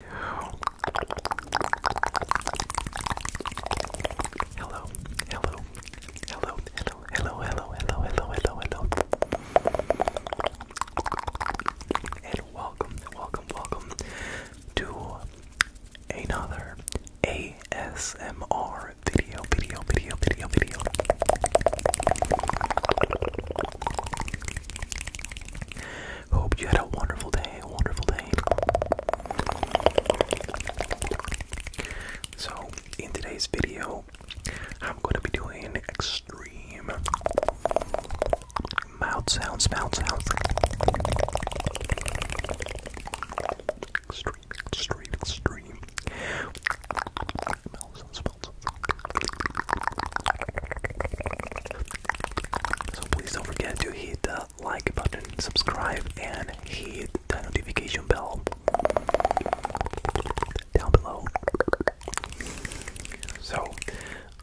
Hello, hello, hello, hello, hello, hello, hello, hello, hello, hello. And welcome, welcome, welcome to another ASMR video, video, video, video, video. Hope you had a wonderful day, wonderful day. So, in today's video, I'm going to be doing extreme mouth sounds, mouth sounds. Extreme, extreme, extreme. Mouth sounds, so please don't forget to hit the like button, subscribe, and hit the notification bell down below. So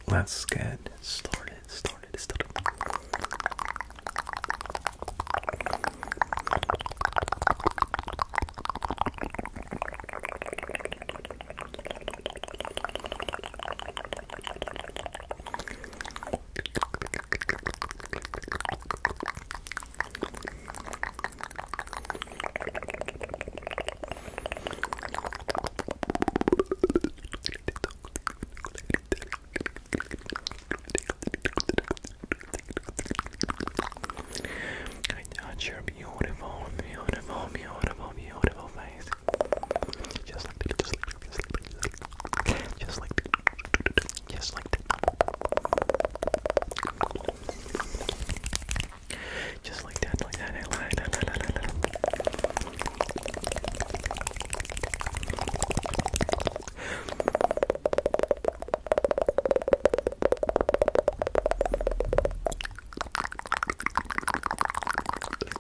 let's get started, started. Got your beautiful, beautiful, beautiful, beautiful guys. Just like just like just like just like just like just like that, like that, like that, like that, like that.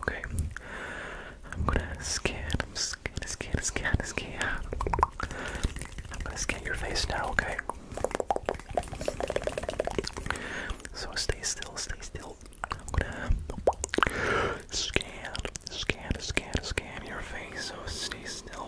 Okay, I'm gonna scan, scan, scan, scan, scan. I'm gonna scan your face now, okay? So stay still, stay still. I'm gonna scan, scan, scan, scan your face. So stay still.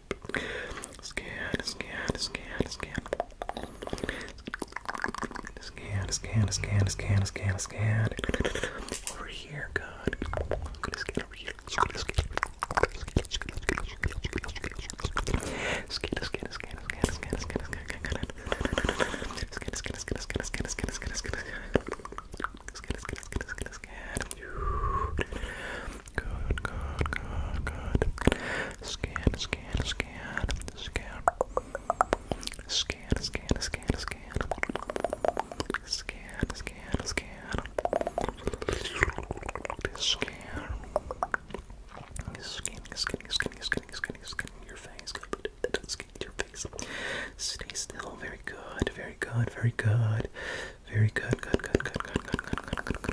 Scan, scan, scan, scan. Scan, scan, scan, scan, scan, scan. Over here, good. I'm gonna scan over here. Scan, scan, scan, scan, scan, scan, scan, scan. Scan, scan, scan, scan, scan, scan, scan, scan. Scan, scan, scan, scan, scan, scan. Good, good, good, good. Scan, scan, scan, scan. Scan, scan, scan, scan. Scan, scan, scan. Scan. Skin, skin, skin, skin, skin, skin your face. Good, skin your face. Stay still. Very good. Very good. Very good. Very good. Good. Good. Good. Good. Good. Good. Good. Good.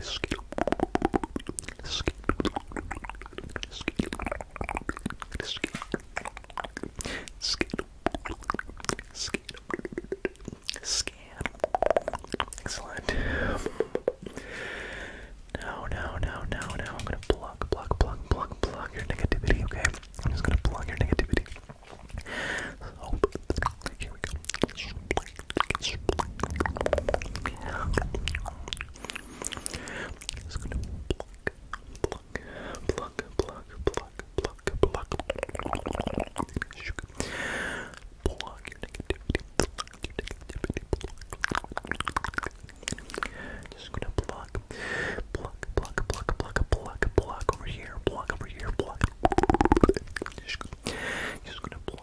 Skittle. Skittle. Skittle. Skittle. Scan. Excellent. No, no, no, no, no. I'm gonna plug, plug, plug, plug, plug your negativity, okay? I'm just gonna plug your negativity. Hope here we go. It's gonna pluck, pluck, pluck, pluck, pluck, pluck, pluck. Pluck your negativity, pluck your negativity, pluck. Just gonna pluck, pluck, pluck, pluck, pluck, pluck, pluck over here, pluck over here, pluck. Just gonna, just gonna pluck.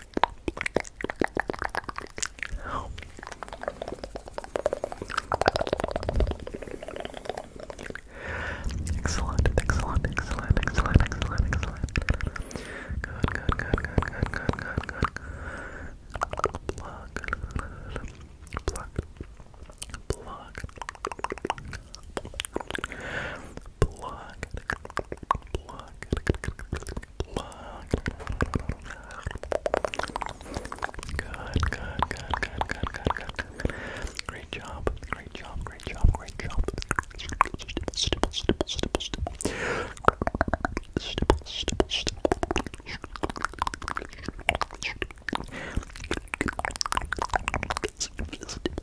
Excellent, excellent, excellent, excellent, excellent, excellent. Good, good, good, good, good, good, good, good. Pluck, pluck, pluck, Block. Block. Block. Good, good, good, good, good, good, good. Great job. Great job. Great job. Great job. Stipple, stipple, stipple, stipple, stipple. Stipple, stipple, stipple. Stipple, stipple, stipple.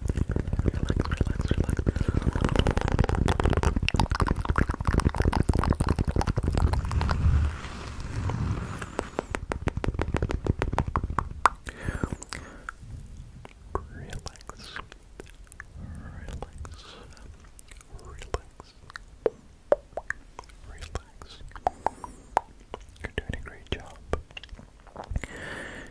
relax, relax, relax. Relax. You're doing a great job.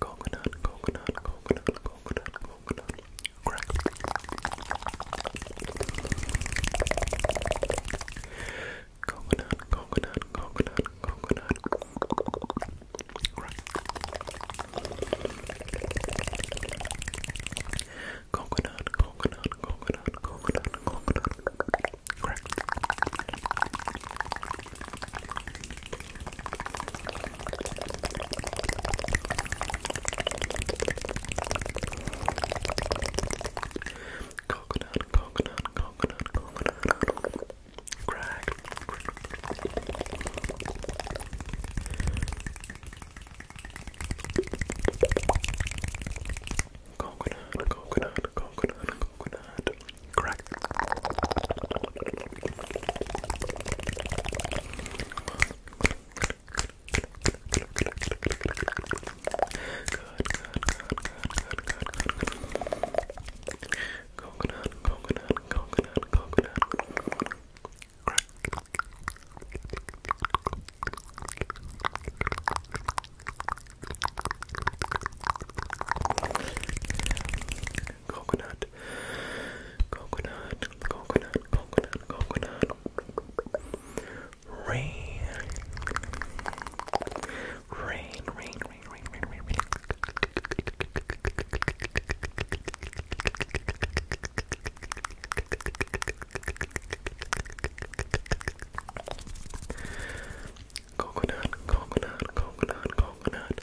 Coconut, coconut, coconut, coconut, coconut. Crack. Coconut, coconut, coconut, coconut. Crack. Coconut, coconut, coconut, coconut, coconut. Crack. Coconut, coconut, coconut, coconut. Crack. Coconut, coconut, coconut, coconut. Correct. Good, good, good, good, good, good, good, good. Coconut, coconut, coconut, coconut. Crack coconut, coconut, coconut, coconut, coconut, rain, rain, rain, rain, rain, rain, rain, Coconut, coconut, coconut, coconut,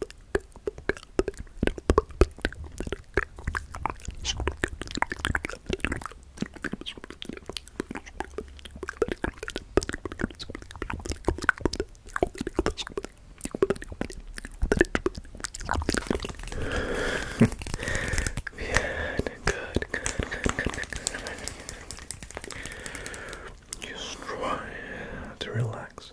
Good, good, good, good, good, good. Just try to relax.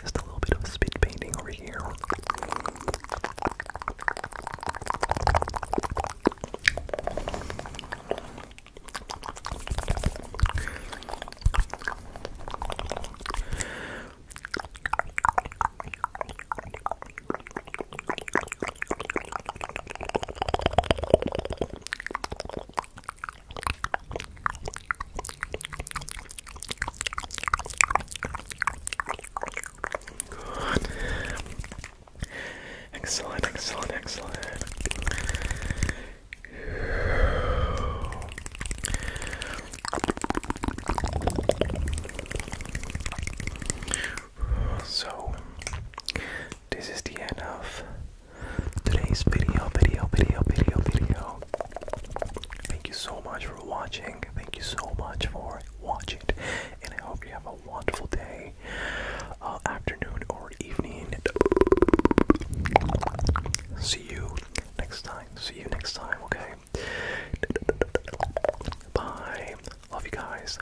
Just a little bit of spit painting over here. Excellent, excellent, excellent. So, this is the end of today's video, video, video, video, video. Thank you so much for watching. Thank you so much for watching. And I hope you have a wonderful day, uh, afternoon, or evening. See you next time. See you next time, okay? Bye. Love you guys.